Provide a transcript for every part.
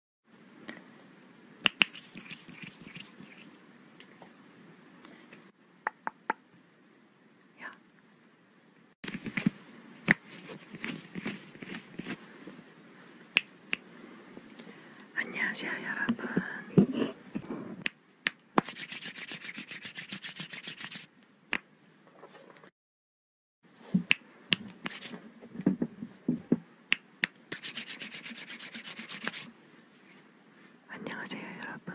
야. 안녕하세요, 여러분. 안녕하세요, 여러분.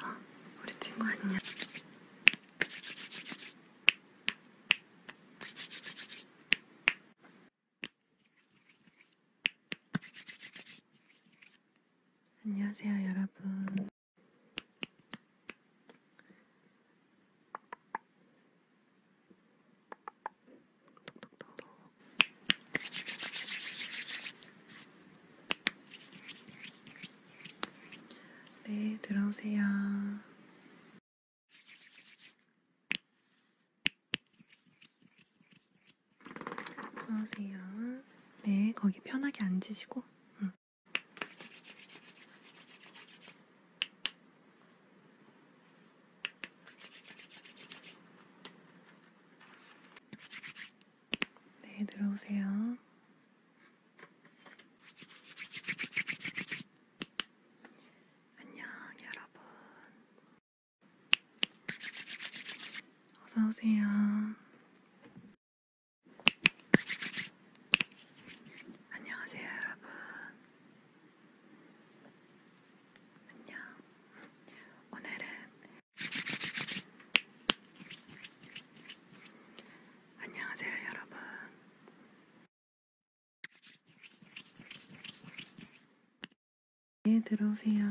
아, 우리 친구 안녕. 안녕하세요, 여러분. 톡톡톡. 네, 들어오세요. 어서오세요. 네, 거기 편하게 앉으시고. 응. 네, 들어오세요. 안녕, 여러분. 어서오세요. 안녕하세요, 여러분. 안녕. 오늘은 안녕하세요, 여러분. 네, 들어오세요.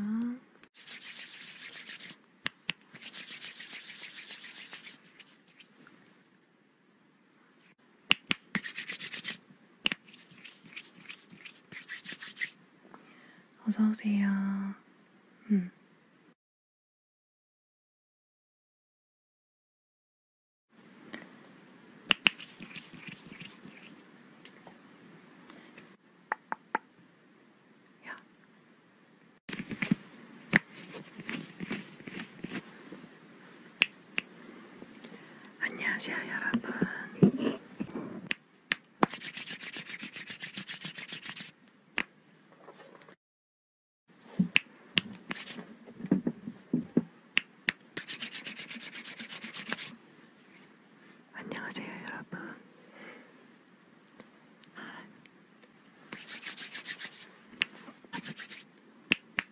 어서오세요. 음. 야. 안녕하세요, 여러분. 안녕하세요, 여러분.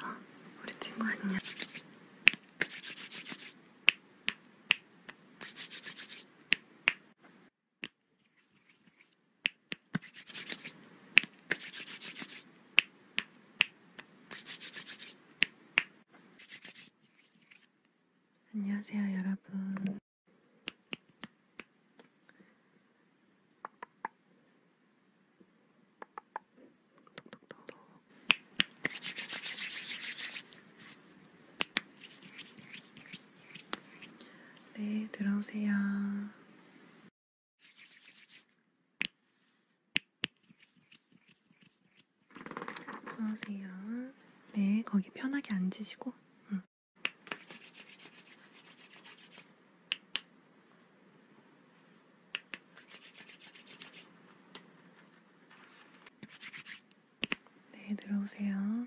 아, 우리 친구 안녕. 안녕하세요, 여러분. 톡톡톡톡. 네, 들어오세요. 들어오세요. 네, 거기 편하게 앉으시고. 응. 네, 들어오세요.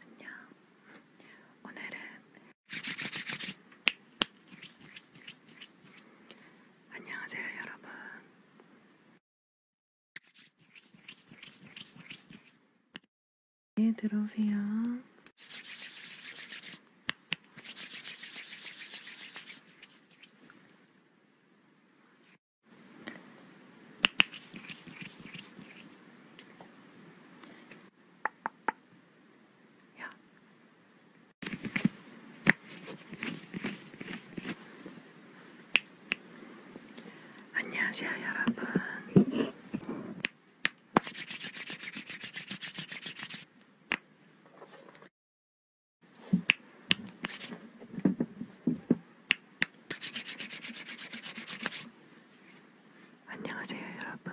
안녕. 오늘은 안녕하세요, 여러분. 네, 들어오세요. 야. 안녕하세요, 여러분. 안녕하세요, 여러분.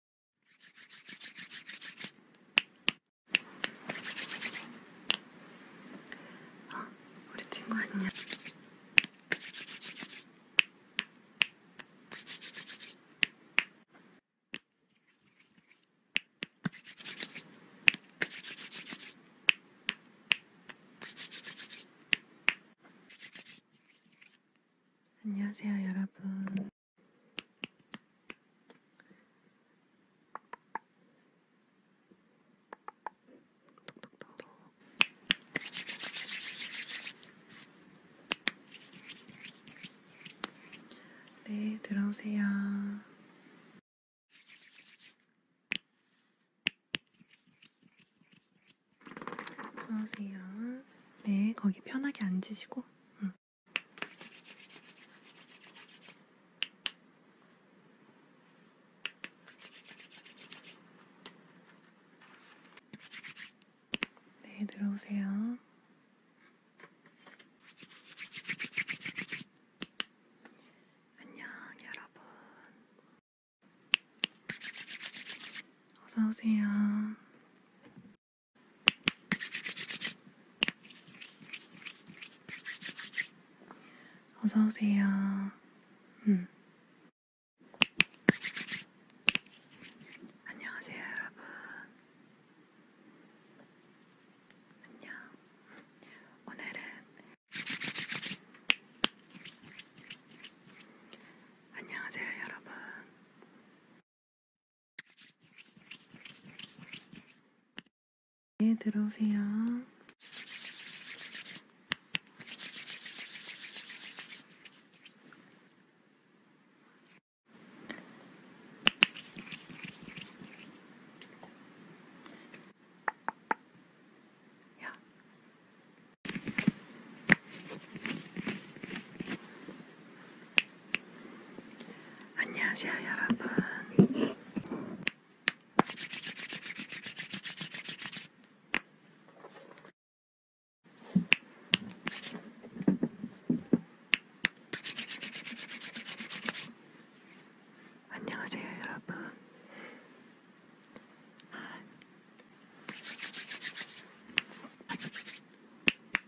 어, 우리 친구 안녕. 안녕하세요, 여러분. 네, 들어오세요. 들어오세요. 네, 거기 편하게 앉으시고. 응. 네, 들어오세요. 안녕, 여러분. 어서오세요. 어서오세요. 음. 안녕하세요, 여러분. 안녕. 오늘은 안녕하세요, 여러분. 네, 들어오세요. 야. 안녕하세요, 여러분. 안녕하세요, 여러분.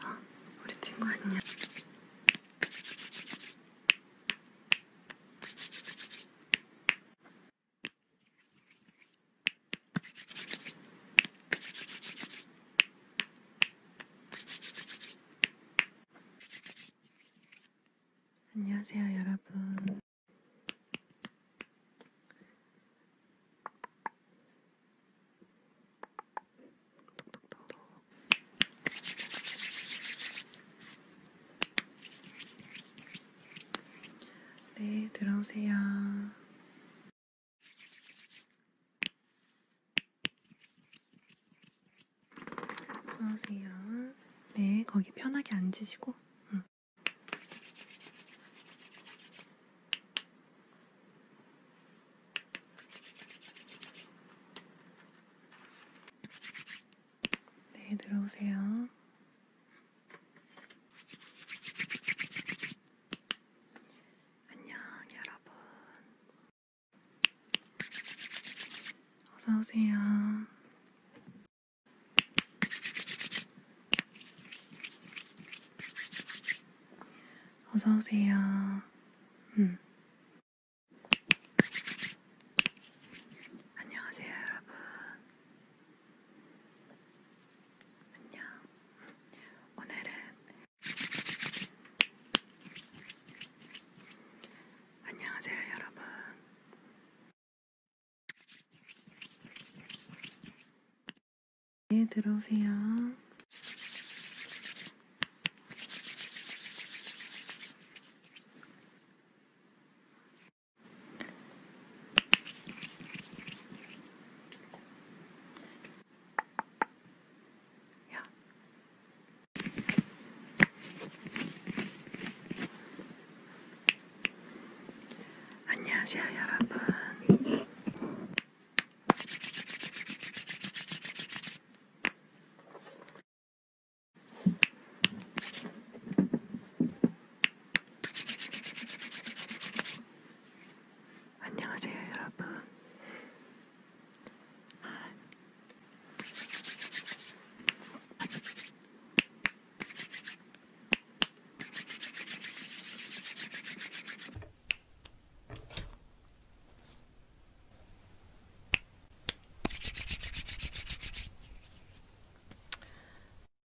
아, 우리 친구 안녕. 안녕하세요, 여러분. 톡톡톡톡. 네, 들어오세요. 들어오세요. 네, 거기 편하게 앉으시고. 응. 네, 들어오세요. 안녕 여러분 어서오세요 어서오세요 음. 안녕하세요 여러분 안녕. 오늘은 안녕하세요, 여러분. 네, 들어오세요. 야. 안녕하세요, 여러분. 안녕하세요, 여러분.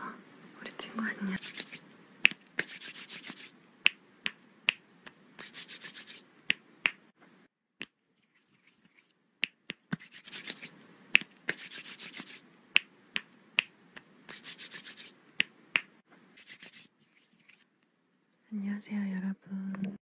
어, 우리 친구 안녕. 안녕하세요, 여러분.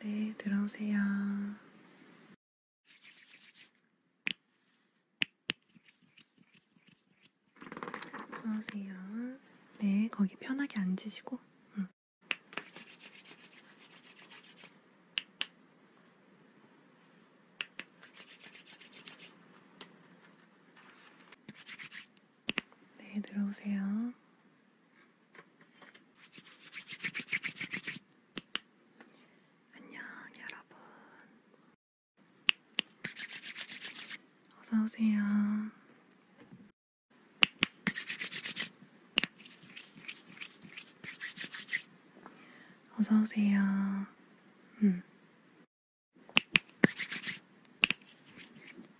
네, 들어오세요. 들어오세요. 네, 거기 편하게 앉으시고. 응. 네, 들어오세요. 안녕, 여러분. 어서오세요. 어서오세요. 음.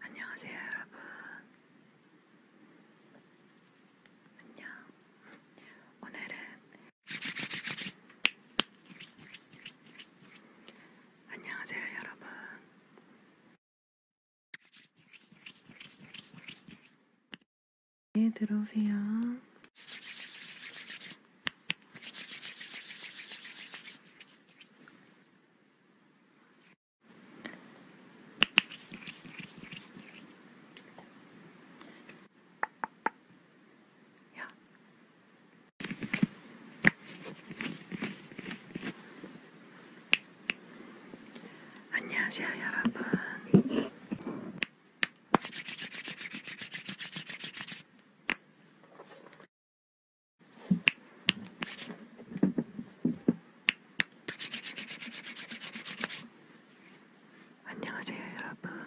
안녕하세요, 여러분. 안녕. 오늘은 안녕하세요, 여러분. 네, 들어오세요. 야. 안녕하세요, 여러분. 안녕하세요, 여러분.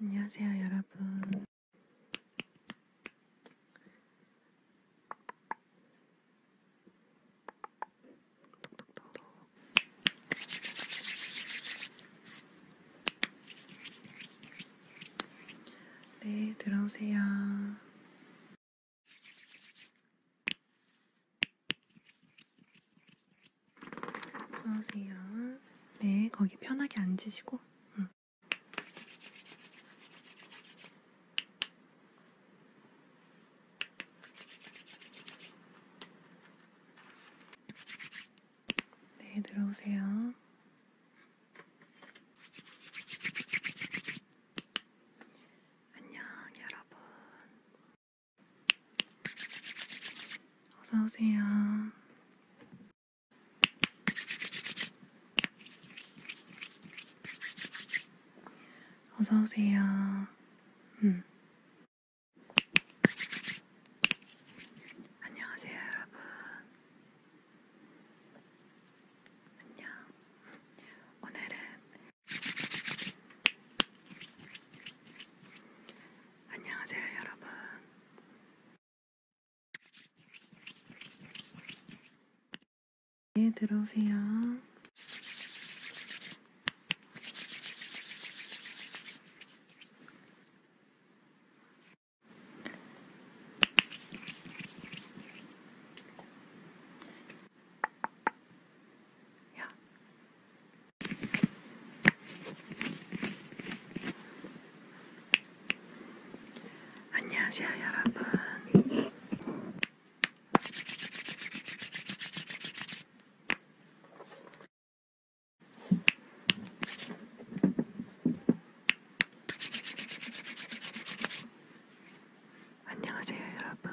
안녕하세요, 여러분. 네, 들어오세요. 들어오세요. 네, 거기 편하게 앉으시고. 응. 네, 들어오세요. 안녕 여러분 어서오세요 어서오세요 음. 안녕하세요 여러분 안녕. 오늘은 안녕하세요, 여러분. 예, 들어오세요. 야. 안녕하세요, 여러분. 안녕하세요, 여러분.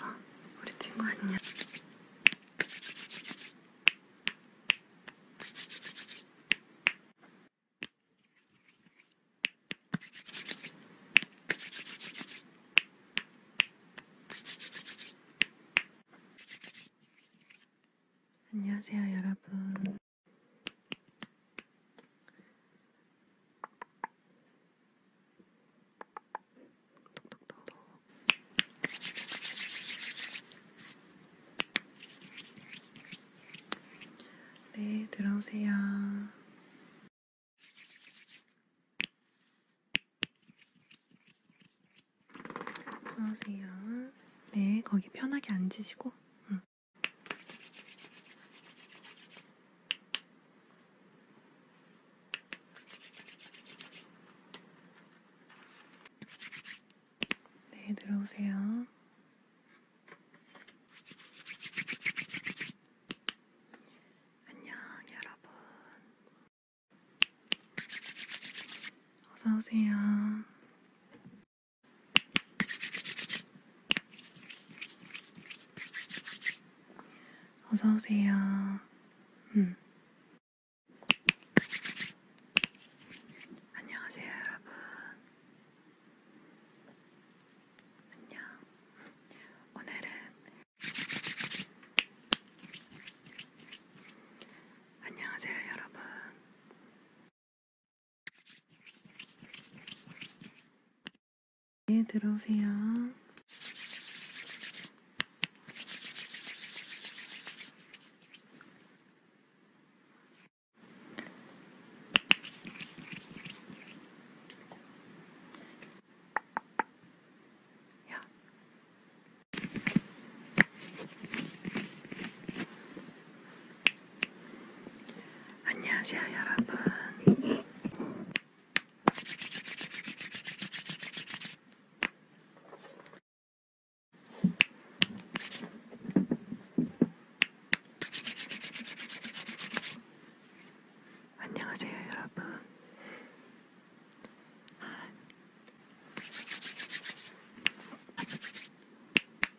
아, 우리 친구 안녕. 안녕하세요, 여러분. 네, 들어오세요. 들어오세요. 네, 거기 편하게 앉으시고. 응. 네, 들어오세요. 안녕, 여러분. 어서오세요. 어서오세요. 음. 안녕하세요, 여러분. 안녕. 오늘은 안녕하세요, 여러분. 네, 들어오세요. 야. 안녕하세요, 여러분. 안녕하세요, 여러분.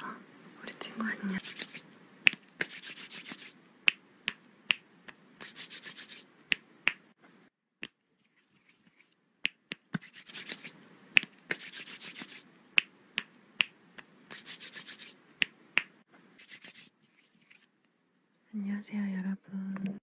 아, 우리 친구 안녕. 안녕하세요, 여러분.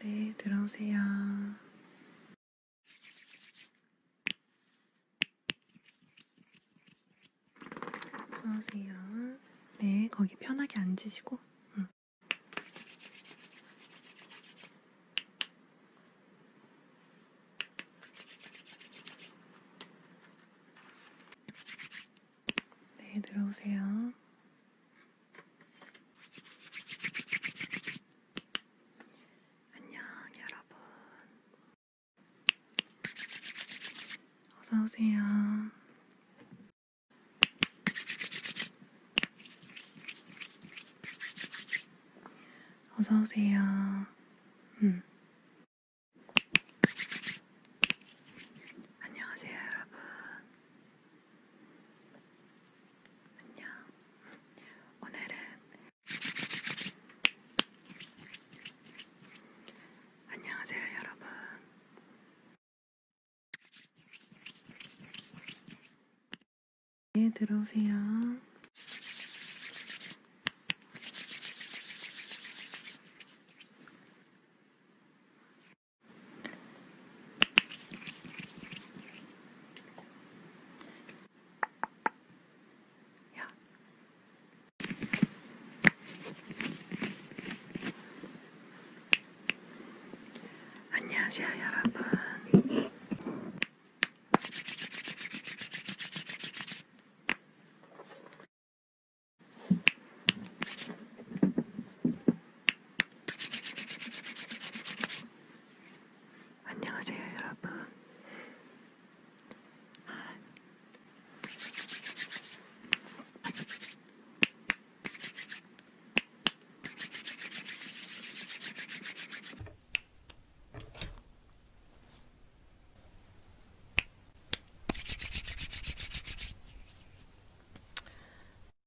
네, 들어오세요. 들어오세요. 네, 거기 편하게 앉으시고. 응. 네, 들어오세요. 안녕, 여러분. 어서오세요. 어서오세요. 음. 안녕하세요, 여러분. 안녕. 오늘은 안녕하세요, 여러분. 네, 들어오세요. 야. 안녕하세요, 여러분. 안녕하세요, 여러분.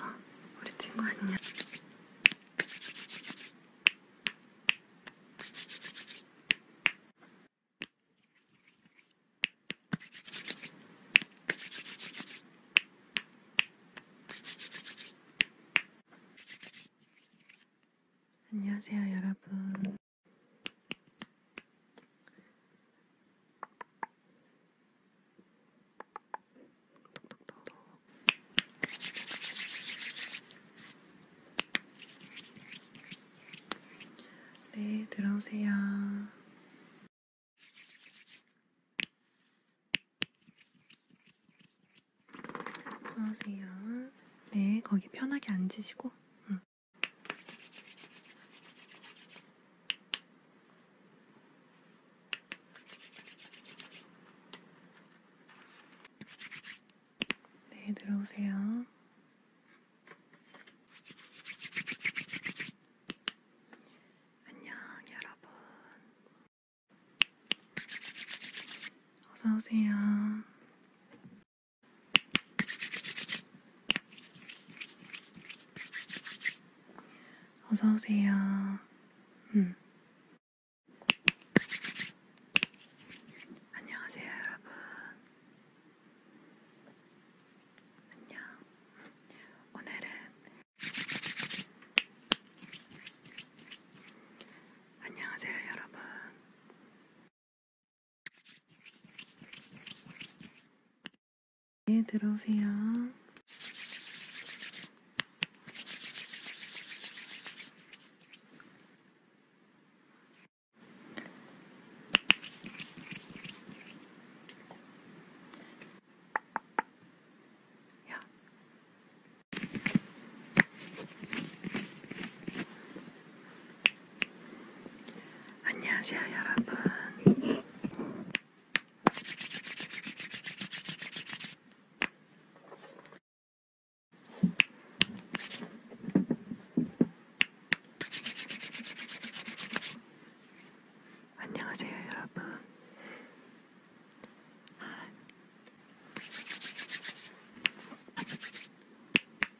어, 우리 친구 안녕. 안녕하세요, 여러분. 네, 들어오세요. 어서오세요. 네, 거기 편하게 앉으시고. 응. 음. 네, 들어오세요. 안녕, 여러분. 어서오세요. 어서오세요. 음. 안녕하세요, 여러분. 안녕. 오늘은 안녕하세요, 여러분. 네, 들어오세요. 야. 안녕하세요, 여러분. 안녕하세요, 여러분.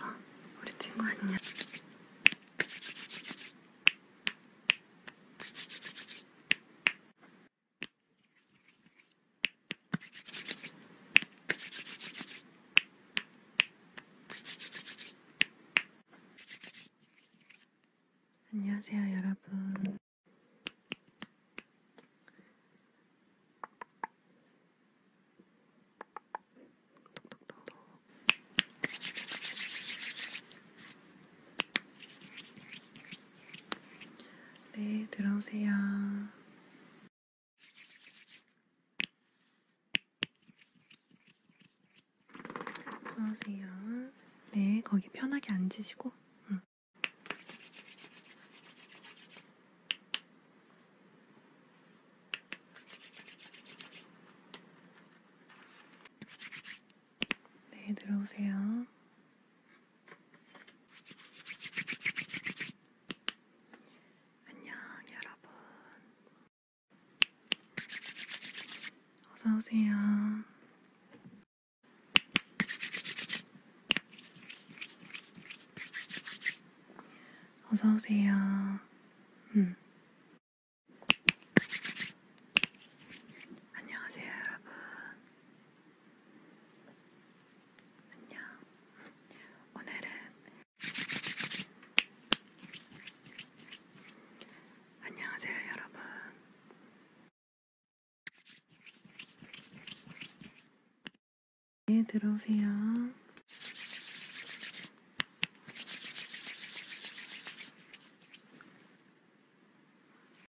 아, 우리 친구 안녕. 안녕하세요, 여러분. 네, 들어오세요. 들어오세요. 네, 거기 편하게 앉으시고. 응. 네, 들어오세요. 안녕 여러분 어서오세요 어서오세요 음. 안녕하세요 여러분 안녕. 오늘은 안녕하세요, 여러분. 네, 들어오세요.